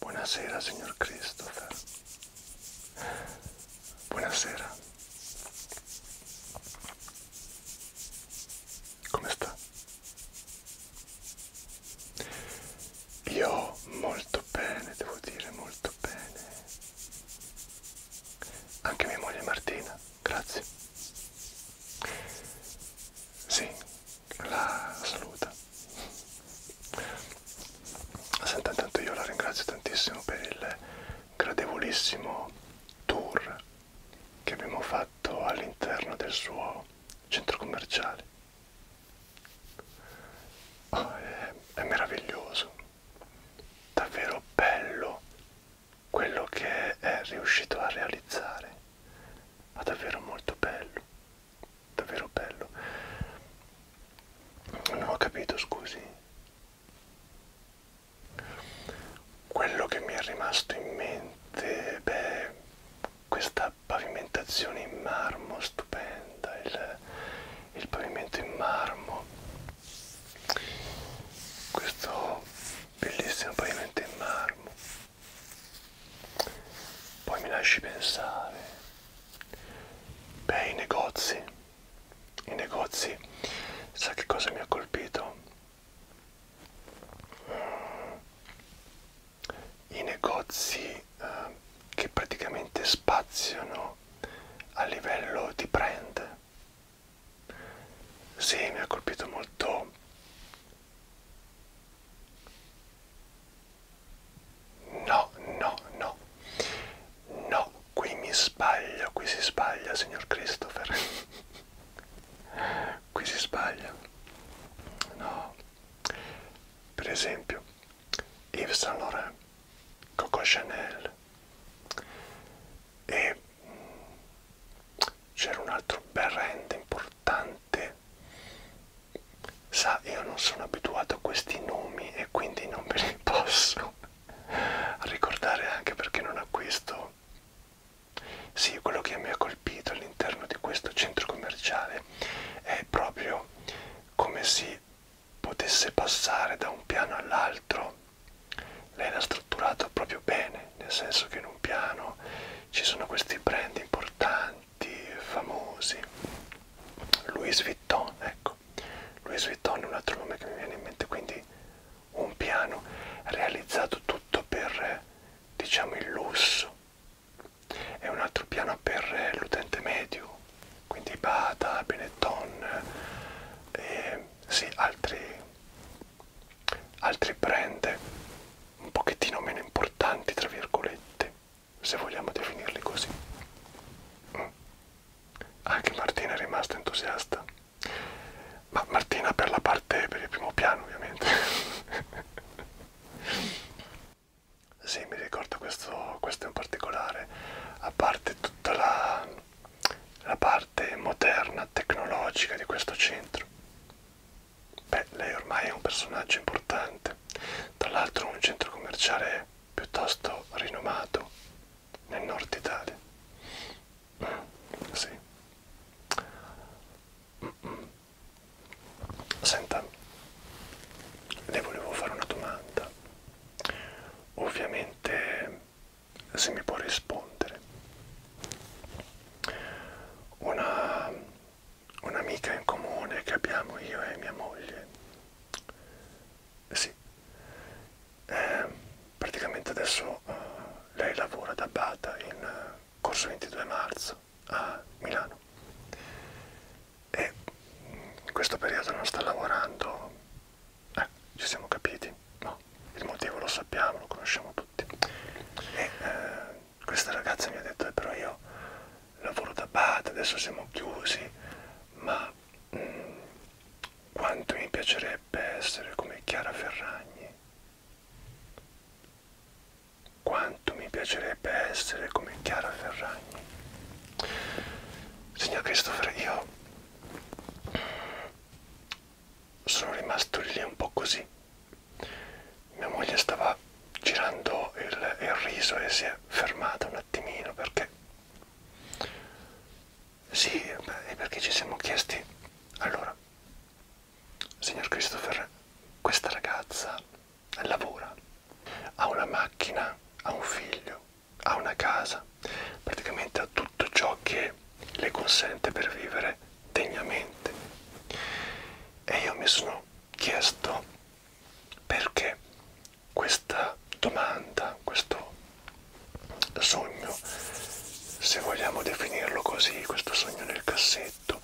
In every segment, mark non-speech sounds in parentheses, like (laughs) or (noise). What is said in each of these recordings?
Buonasera signor Christopher. Buonasera. Come sta? Io molto bene, devo dire molto bene. Anche mia moglie Martina, grazie. Sì, la saluta. Senta, intanto io la ringrazio tantissimo per il gradevolissimo tour che abbiamo fatto all'interno del suo centro commerciale. Oh, è, è meraviglioso, davvero bello quello che è riuscito a realizzare ma davvero molto bello davvero bello non ho capito scusi quello che mi è rimasto in mente beh questa pavimentazione in marmo stupenda il, il pavimento in marmo questo bellissimo pavimento in marmo poi mi lasci pensare. Beh, i negozi. I negozi. Sa che cosa mi ha colpito? I negozi eh, che praticamente spaziano a livello di brand. Sì, mi ha colpito molto No, no, no. No, qui mi sbaglio, qui si sbaglia, signor Christopher. (laughs) qui si sbaglia. No. Per esempio, Yves Saint Laurent, Coco Chanel e c'era un altro brand importante niente. Sa, io non sono abituato a questi nomi e quindi non ve li (laughs) posso ricordare anche perché non acquisto. Sì, quello che mi ha colpito all'interno di questo centro commerciale è proprio come si potesse passare da un piano all'altro. Lei l'ha strutturato proprio bene, nel senso che in un piano ci sono questi brand importanti tanti famosi Louis Vuitton ecco Louis Vuitton è un altro nome che mi viene in mente quindi un piano realizzato tutto per diciamo il lusso e un altro piano per l'utente medio quindi Bata, Benetton e eh, sì, altri, altri brand un pochettino meno importanti, tra virgolette, se vogliamo definirli così. Mm. Anche Martina è rimasta entusiasta, ma Martina per la parte per il primo piano ovviamente. (laughs) sì, mi ricordo questo, questo in particolare, a parte tutta la, la parte moderna, tecnologica di questo centro. Beh, lei ormai è un personaggio importante, tra l'altro un centro commerciale piuttosto rinomato nel nord Italia. Mm, sì. Mm -mm. Senta, le volevo fare una domanda. Ovviamente se mi può rispondere. Una un'amica in comune che abbiamo io e mia moglie. Sì, eh, praticamente adesso eh, lei lavora da Bata in eh, corso 22 marzo a Milano e mm, in questo periodo non sta lavorando, eh, ci siamo capiti, no, il motivo lo sappiamo, lo conosciamo tutti. E, eh, questa ragazza mi ha detto eh, però io lavoro da bad, adesso siamo chiusi, ma mh, mm, quanto mi piacerebbe essere come Chiara Ferragni, quanto mi piacerebbe essere come Chiara Ferragni. Signor Christopher, io sono rimasto lì un po' così mia moglie stava girando il, il riso e si è fermata un attimino perché sì, beh, è perché ci siamo chiesti allora, signor Christopher, questa ragazza lavora, ha una macchina, ha un figlio, ha una casa, praticamente ha tutto ciò che le consente per vivere degnamente. E io mi sono chiesto perché questa domanda, questo sogno, se vogliamo definirlo così, questo sogno nel cassetto,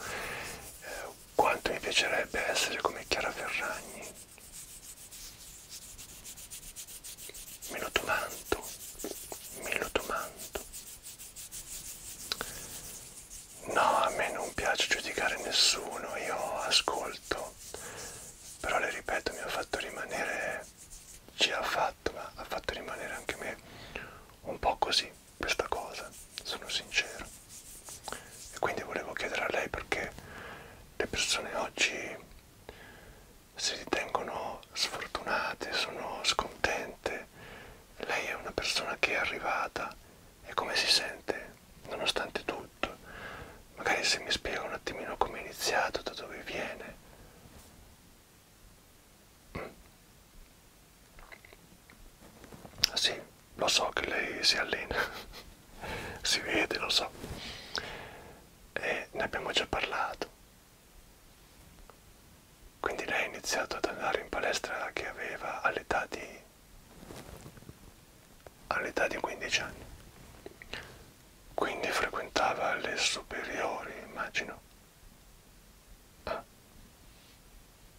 eh, quanto mi piacerebbe essere come Chiara Ferragni. Me lo domando, me lo domando. No, a me non piace giudicare nessuno, io ascolto, però le ripeto, mi ha fatto rimanere, ci ha fatto, ma ha fatto rimanere anche me un po' così questa cosa, sono sincero. E quindi volevo chiedere a lei perché le persone oggi si ritengono sfortunate, sono scontente, lei è una persona che è arrivata e come si sente nonostante tutto. Magari se mi spiega un attimino come è iniziato, da dove viene. Mm. Sì, lo so che lei si allena, (laughs) si vede, lo so. E ne abbiamo già parlato. Quindi lei ha iniziato ad andare in palestra che aveva all'età di all'età di 15 anni. Quindi frequentava le superiori, immagino. Ah.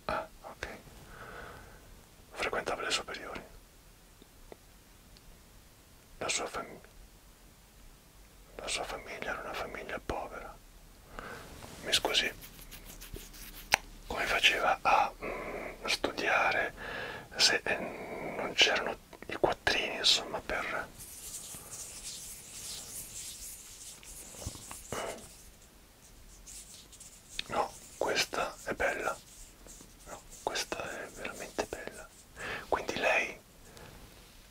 Ah, ok. Frequentava le superiori. La sua famiglia. La sua famiglia era una famiglia povera mi scusi, come faceva a mm, studiare se eh, non c'erano i quattrini, insomma, per... No, questa è bella. No, questa è veramente bella. Quindi lei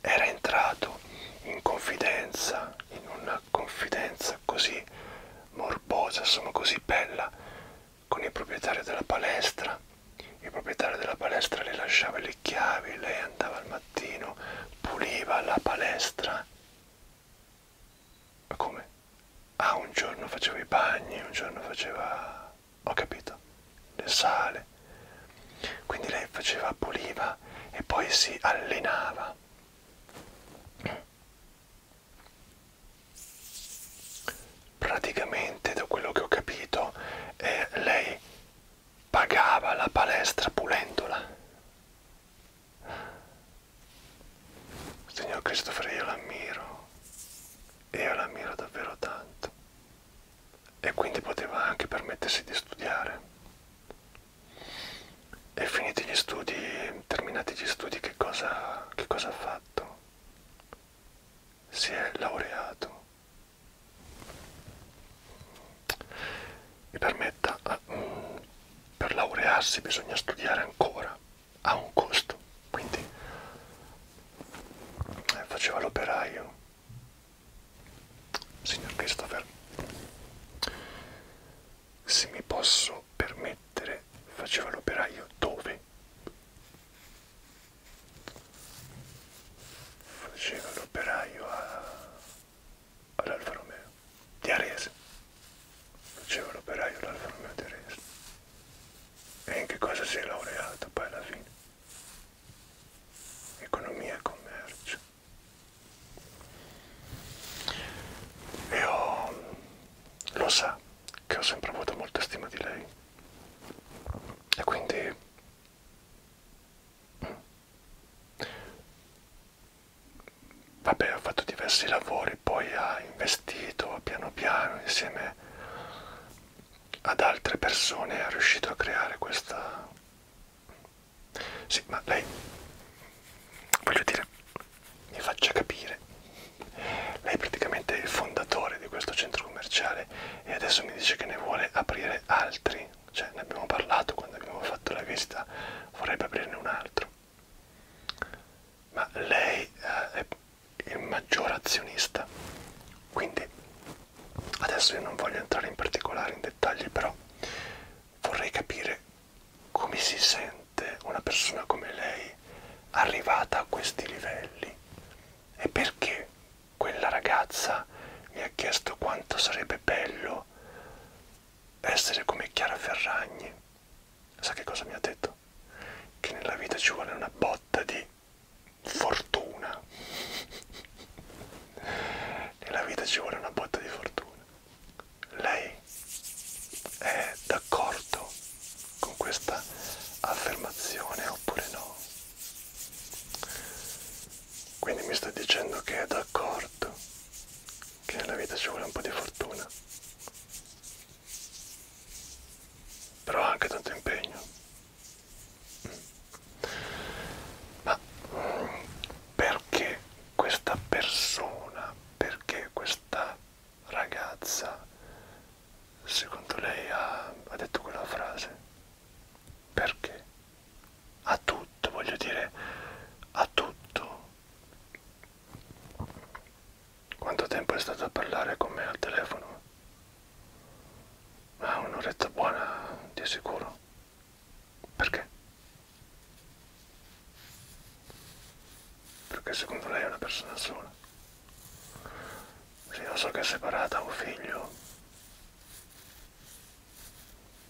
era entrato in confidenza in un una confidenza così morbosa, insomma così bella con il proprietario della palestra. Il proprietario della palestra le lasciava le chiavi, lei andava al mattino, puliva la palestra. Ma come? Ah, un giorno faceva i bagni, un giorno faceva... ho capito, le sale. Quindi lei faceva, puliva e poi si allenava praticamente da quello che ho capito eh, lei pagava la palestra pulendola signor Christopher io l'ammiro io l'ammiro davvero tanto e quindi poteva anche permettersi di studiare e finiti gli studi, terminati gli studi, che cosa, che cosa ha fatto? Si è laureato. Mi permetta, ah, mm, per laurearsi bisogna studiare ancora, ha un costo, quindi eh, faceva l'operaio. Signor Christopher, se mi posso permettere, faceva l'operaio dove? Faceva l'operaio all'Alfa Romeo di Arese. Faceva l'operaio all'Alfa Romeo di Arese. E in che cosa si è laureato poi alla fine? Economia e commercio. Io lo sa che ho sempre avuto molta stima di lei e quindi vabbè ha fatto diversi lavori poi ha investito piano piano insieme ad altre persone è riuscito a creare questa sì ma lei voglio dire mi faccia capire. Lei è praticamente il fondatore di questo centro commerciale e adesso mi dice che ne vuole aprire altri. Cioè, ne abbiamo parlato quando abbiamo fatto la visita, vorrebbe aprirne un altro. Ma lei eh, è il maggior azionista. Quindi, adesso io non voglio entrare in particolare in dettagli, però vorrei capire come si sente una persona come lei arrivata a questi livelli e perché quella ragazza mi ha chiesto quanto sarebbe bello essere come Chiara Ferragni. Sa che cosa mi ha detto? Che nella vita ci vuole una botta di fortuna. (laughs) nella vita ci vuole una botta di fortuna. Lei è d'accordo con questa affermazione oppure no? Quindi mi sta dicendo che è d'accordo che nella vita ci vuole un po' di fortuna, però anche tanto impegno. Mm. Ma mm, perché questa persona, perché questa ragazza, secondo lei ha, ha detto quella frase? Perché? A tutto, voglio dire, a tutto. Quanto tempo è stato a parlare con me al telefono? Ah, un'oretta buona, di sicuro. Perché? perché secondo lei è una persona sola. Sì, lo so che è separata, ha un figlio.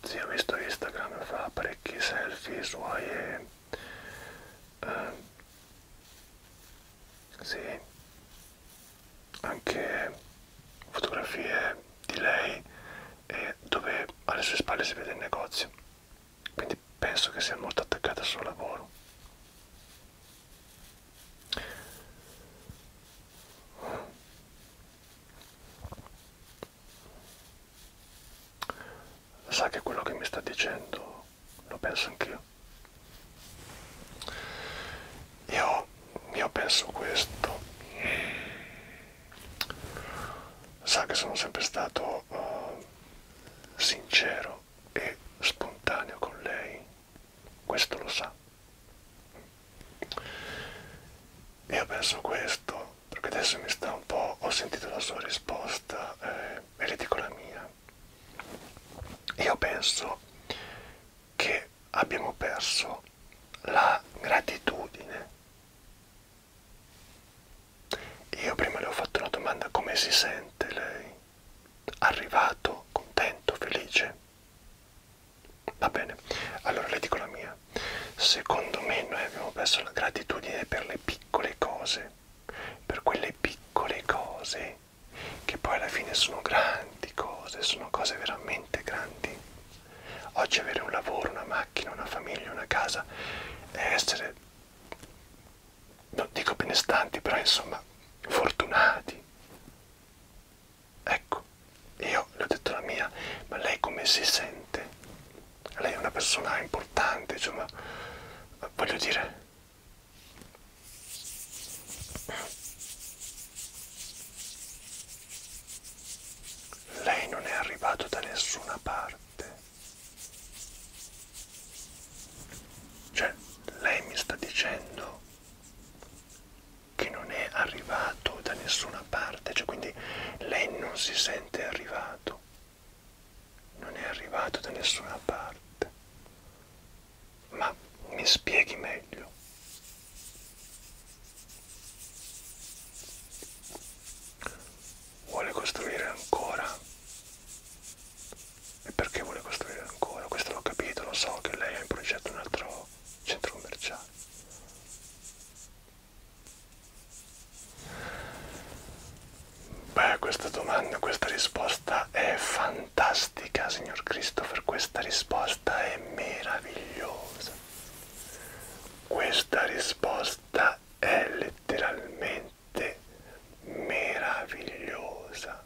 Sì, ho visto Instagram, fa parecchi selfie suoi e... Eh, sì, anche fotografie di lei e dove alle sue spalle si vede il negozio quindi penso che sia molto attaccata al suo lavoro sa che quello che mi sta dicendo lo penso anch'io io, io penso questo sa che sono sempre stato uh, sincero e spontaneo con lei, questo lo sa. Io penso questo, perché adesso mi sta un po', ho sentito la sua risposta eh, e le dico la mia. Io penso che abbiamo perso la gratitudine io prima le ho fatto una domanda come si sente lei? Arrivato, contento, felice? Va bene, allora le dico la mia. Secondo me noi abbiamo perso la gratitudine per le piccole cose, per quelle piccole cose che poi alla fine sono grandi cose, sono cose veramente grandi. Oggi avere un lavoro, una macchina, una famiglia, una casa è essere non dico benestanti, però insomma fortunati. Ecco, io le ho detto la mia, ma lei come si sente? Lei è una persona importante, insomma, voglio dire... Lei non è arrivato da nessuna parte. Cioè, lei mi sta dicendo che non è arrivato da nessuna parte, cioè quindi lei non si sente arrivato, non è arrivato da nessuna parte. Ma mi spieghi meglio vuole costruire ancora. E perché vuole costruire ancora? Questo l'ho capito, lo so che lei ha in progetto un altro centro commerciale. Beh, questa domanda, questa risposta è fantastica, signor Christopher, questa risposta è meravigliosa. Questa risposta è letteralmente notte meravigliosa.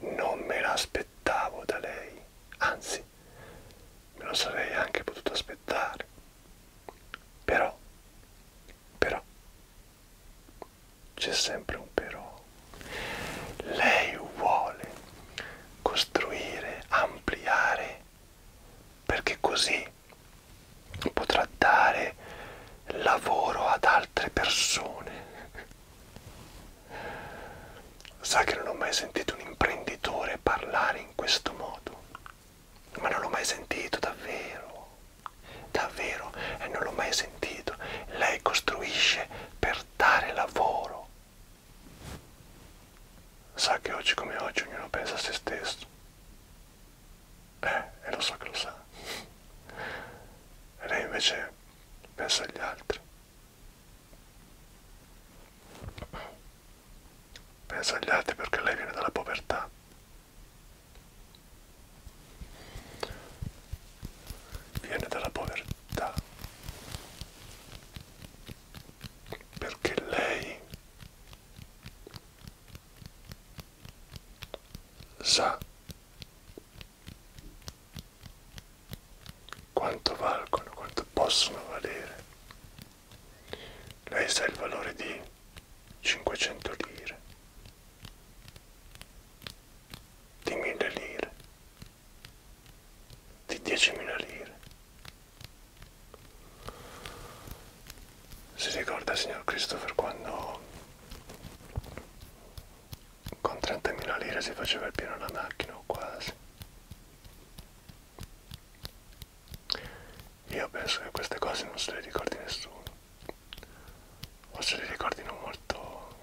Non me l'aspettavo da lei, anzi me lo sarei anche potuto aspettare. Però, però, c'è sempre un però. Lei vuole costruire, ampliare, perché così potrà dare lavoro ad altre persone. Sa che non ho mai sentito un imprenditore parlare in questo modo, ma non l'ho mai sentito davvero, davvero, e non l'ho mai sentito. Lei costruisce per dare lavoro. Sa che oggi come oggi ognuno pensa a se stesso eh, e lo so che lo sa. E lei invece pensa agli altri. Pensa agli altri perché lei viene dalla povertà. Viene dalla povertà. Perché lei sa quanto valgono, quanto possono valere. Lei sa il valore di 500 lire, di 1000 lire, di 10.000 lire. Si ricorda, signor Christopher, quando con 30.000 lire si faceva il pieno alla macchina o quasi? Io penso che queste cose non se le ricordi nessuno, o se le ricordino molto,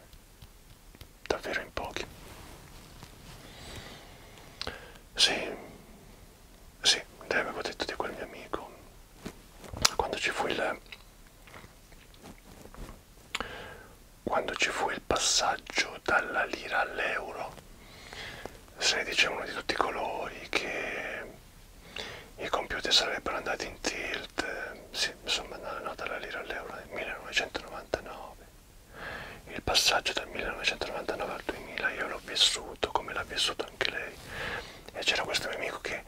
davvero in pochi. Sì, sì, lei aveva detto di quel mio amico quando ci fu il quando ci fu il passaggio dalla lira all'euro se ne dicevano di tutti i colori che i computer sarebbero andati in tilt sì, insomma no, no, dalla lira all'euro nel 1999 il passaggio dal 1999 al 2000 io l'ho vissuto come l'ha vissuto anche lei e c'era questo mio amico che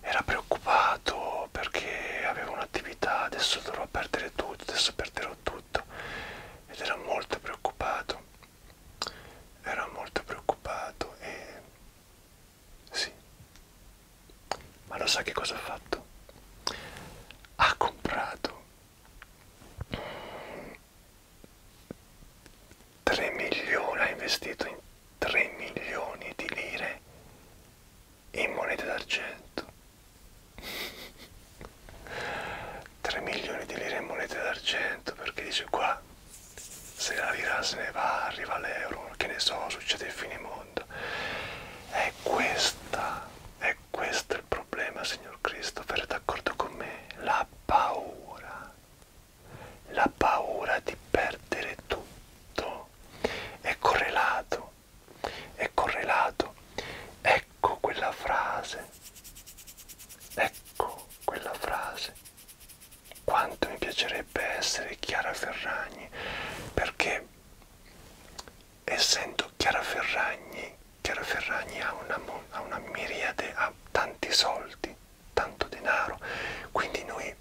era preoccupato perché aveva un'attività, adesso dovrò perdere tutto, adesso perderò tutto ed era molto preoccupato, era molto preoccupato e sì, ma lo sa che cosa ha fatto? Ha comprato 3 milioni ha investito in 3 milioni di lire in monete d'argento 3 milioni di lire in monete d'argento perché dice qua se la lira se ne va arriva l'euro che ne so succede il finimondo è questa è questo il problema signor Christopher è d'accordo con me la paura la paura di perdere tutto è correlato, è correlato, ecco quella frase, ecco quella frase. Quanto mi piacerebbe essere Chiara Ferragni, perché essendo Chiara Ferragni, Chiara Ferragni ha una, ha una miriade, ha tanti soldi tanto denaro quindi noi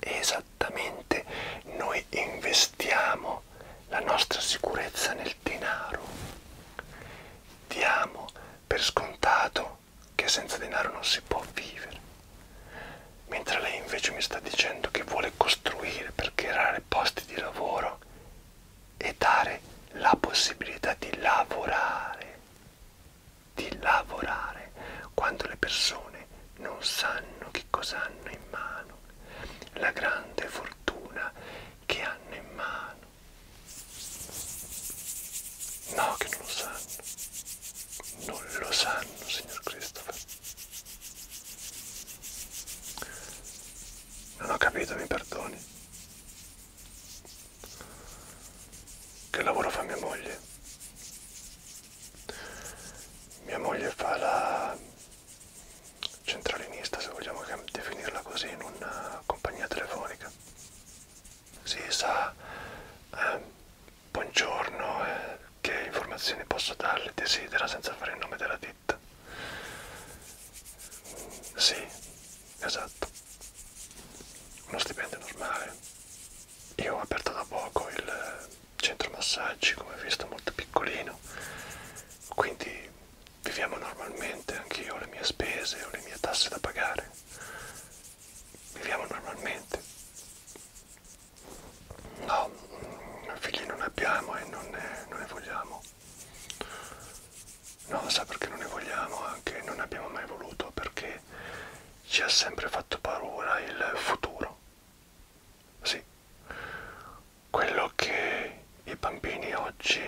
esattamente noi investiamo la nostra sicurezza nel denaro diamo per scontato che senza denaro non si può vivere mentre lei invece mi sta dicendo che vuole costruire per creare posti di lavoro e dare la possibilità di lavorare, di lavorare quando le persone non sanno che cosa hanno in mano, la grande fortuna che hanno in mano. No, che non lo sanno, non lo sanno, signor Christopher. Non ho capito, mi perdoni. Che lavoro fa mia moglie? Mia moglie fa la centralinista, se vogliamo definirla così, in una compagnia telefonica. Si sa, eh, buongiorno, eh, che informazioni posso darle, desidera senza fare il nome della ditta. Mm, sì, Esatto. Uno stipendio normale. Io ho aperto da poco il centro massaggi, come visto, molto piccolino. Quindi viviamo normalmente, anche io ho le mie spese, ho le mie tasse da pagare. Viviamo normalmente. No, figli non abbiamo e non ne, non ne vogliamo non sa perché non ne vogliamo, anche non ne abbiamo mai voluto perché ci ha sempre fatto paura il futuro. Sì, quello che i bambini oggi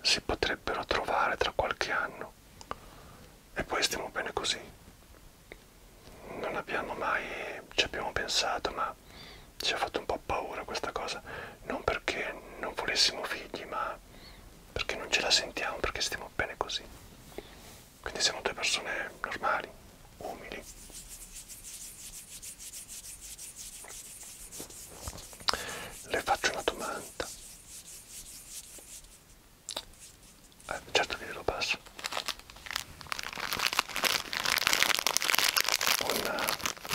si potrebbero trovare tra qualche anno e poi stiamo bene così. Non abbiamo mai, ci abbiamo pensato, ma ci ha fatto un po' paura questa cosa non perché non volessimo figli, ma perché non ce la sentiamo, perché stiamo bene così. Quindi siamo due persone normali, umili. Le faccio una domanda. Eh, certo che glielo passo. Una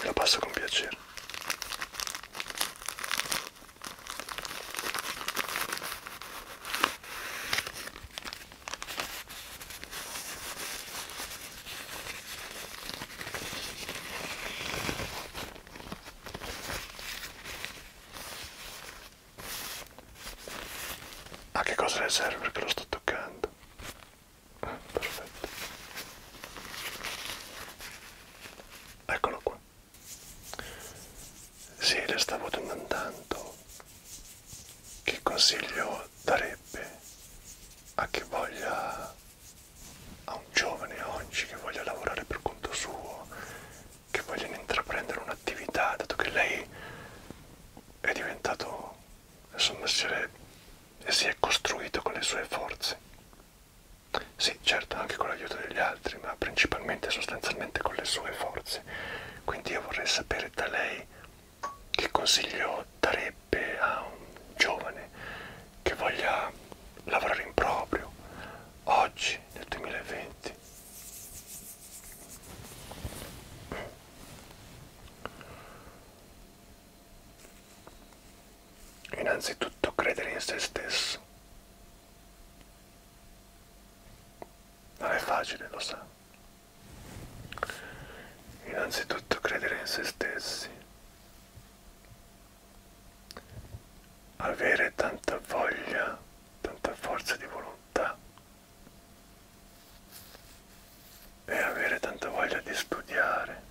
Ve la passo con piacere. A ah, che cosa le serve che lo sto toccando? perfetto eccolo qua sì le stavo domandando che consiglio darebbe a chi voglia a un giovane oggi che voglia lavorare per conto suo che vogliono intraprendere un'attività dato che lei è diventato il suo mestiere e si è costruito con le sue forze. Sì, certo, anche con l'aiuto degli altri, ma principalmente e sostanzialmente con le sue forze. Quindi io vorrei sapere da lei che consiglio darebbe a un giovane che voglia lavorare in proprio oggi nel 2020. Innanzitutto credere in se stesso. Non è facile, lo sa. Innanzitutto credere in se stessi. Avere tanta voglia, tanta forza di volontà e avere tanta voglia di studiare,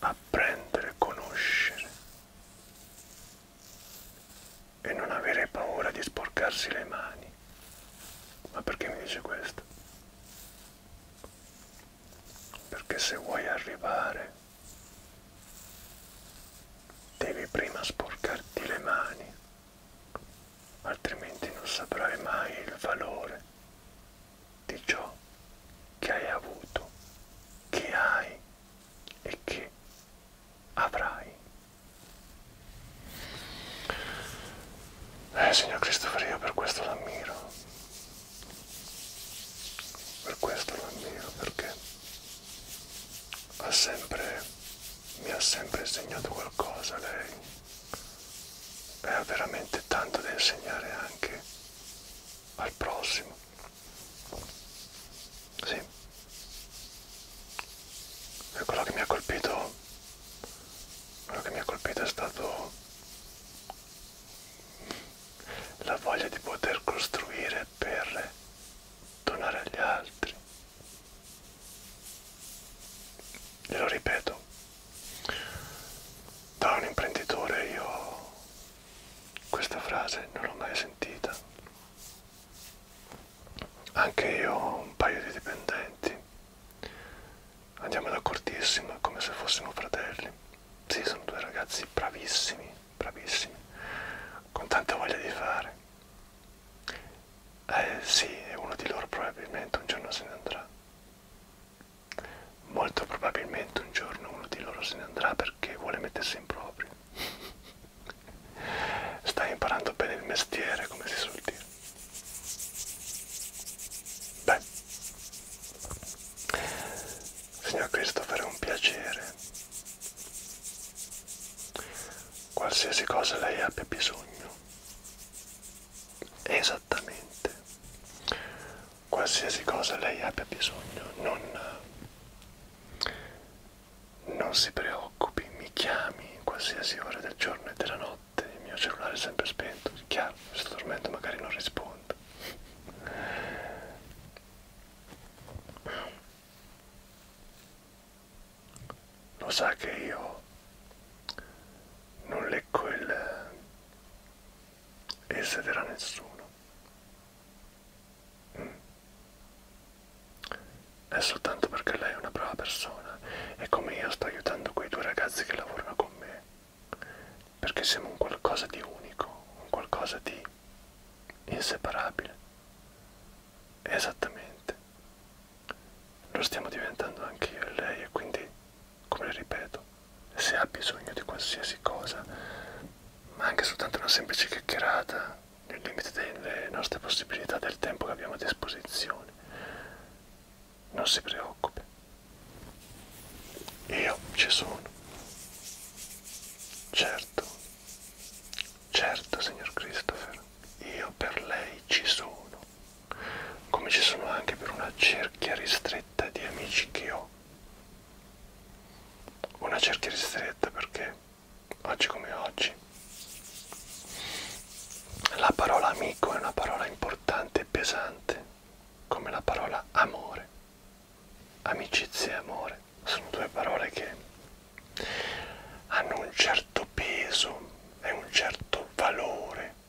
apprendere, conoscere e non avere paura di sporcarsi le mani. Ma perché mi dice questo? Perché se vuoi arrivare devi prima sporcarti le mani altrimenti non saprai mai il valore di ciò che hai avuto, che hai e che avrai. Eh, signor Christopher, io per questo l'ammiro, per questo l'ammiro, perché ha sempre, mi ha sempre insegnato qualcosa lei Beh, ha veramente tanto da insegnare anche al prossimo. Sì. E quello che mi ha colpito, quello che mi ha colpito è stato la voglia di poter costruire per donare agli altri Glielo ripeto, da un imprenditore io questa frase non l'ho mai sentita. Anche io ho un paio di dipendenti. Andiamo d'accordissimo, come se fossimo fratelli. Sì, sono due ragazzi bravissimi, bravissimi, con tanta voglia di fare. Eh sì, e uno di loro probabilmente un giorno se ne andrà. Molto probabilmente un giorno uno di loro se ne andrà perché vuole mettersi in proprio. Sta imparando bene il mestiere, come si suol dire. Beh, signor Christopher, è un piacere. Qualsiasi cosa lei abbia bisogno, esattamente qualsiasi cosa lei abbia bisogno non, non si preoccupi mi chiami in qualsiasi ora del giorno e della notte il mio cellulare è sempre spento chiaro se sto dormendo magari non rispondo lo sa che io non leggo il esetera nessuno mm. è soltanto perché lei è una brava persona e come io sto aiutando quei due ragazzi che lavorano con me perché siamo un qualcosa di unico un qualcosa di inseparabile esattamente lo stiamo diventando anche io e lei e quindi, come ripeto, se ha bisogno di qualsiasi cosa, ma anche soltanto una semplice chiacchierata, nel limite delle nostre possibilità del tempo che abbiamo a disposizione, non si preoccupi. Io ci sono. Certo, certo, signor Christopher, io per lei ci sono come ci sono anche per una cerchia ristretta di amici che ho. Una cerchia ristretta perché oggi come oggi la parola amico è una parola importante e pesante, come la parola amore. Amicizia e amore sono due parole che hanno un certo peso e un certo valore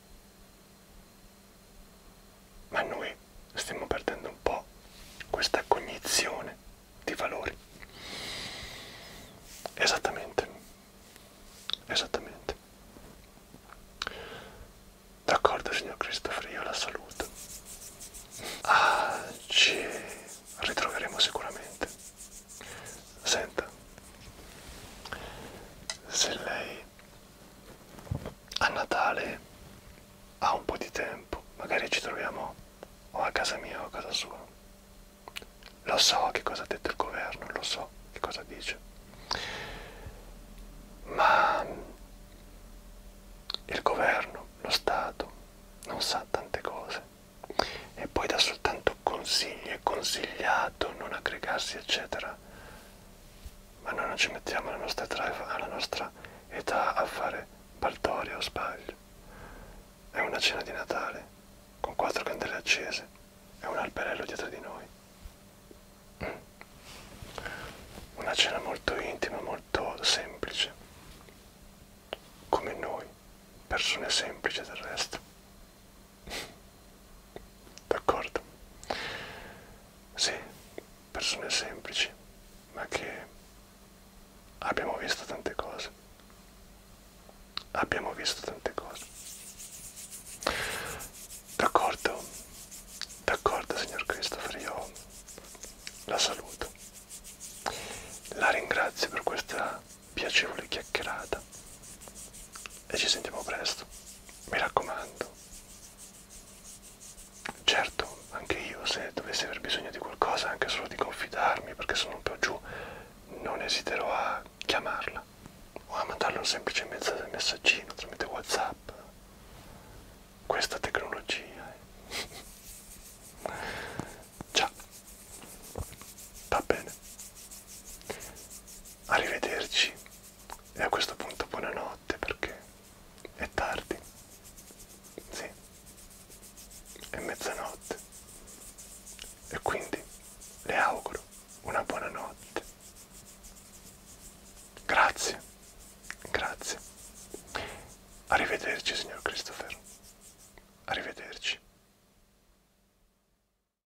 ma noi stiamo perdendo un po' questa cognizione di valori. Esattamente, esattamente. D'accordo, signor Christopher, io la saluto. Ah, ci ritroveremo sicuramente. Senta, se lei a Natale ha un po' di tempo, magari ci troviamo o a casa mia o a casa sua. Lo so che cosa ha detto il governo, lo so che cosa dice, ma il governo, lo Stato, non sa tante cose e poi dà soltanto consigli e consigliare isolato, non aggregarsi, eccetera. Ma noi non ci mettiamo alla nostra, alla nostra età a fare baldoria o sbaglio. È una cena di Natale, con quattro candele accese e un alberello dietro di noi. Mm. Una cena molto intima, molto semplice, come noi, persone semplici del resto. (laughs) D'accordo? Sì, persone semplici, ma che abbiamo visto tante cose. Abbiamo visto tante cose. D'accordo, d'accordo signor Christopher, io la saluto. La ringrazio per questa piacevole chiacchierata e ci sentiamo presto. Mi raccomando. Certo, anche io se dovessi aver bisogno di qualcosa, anche solo di confidarmi perché sono un po' giù, non esiterò a chiamarla o a mandarle un semplice messaggino tramite WhatsApp. Questa tecnologia. Eh. (laughs) Ciao. Va bene arrivederci e a questo punto buonanotte perché è tardi. Sì, è mezzanotte. E quindi le auguro una buona notte. Grazie, grazie. Arrivederci signor Christopher. Arrivederci.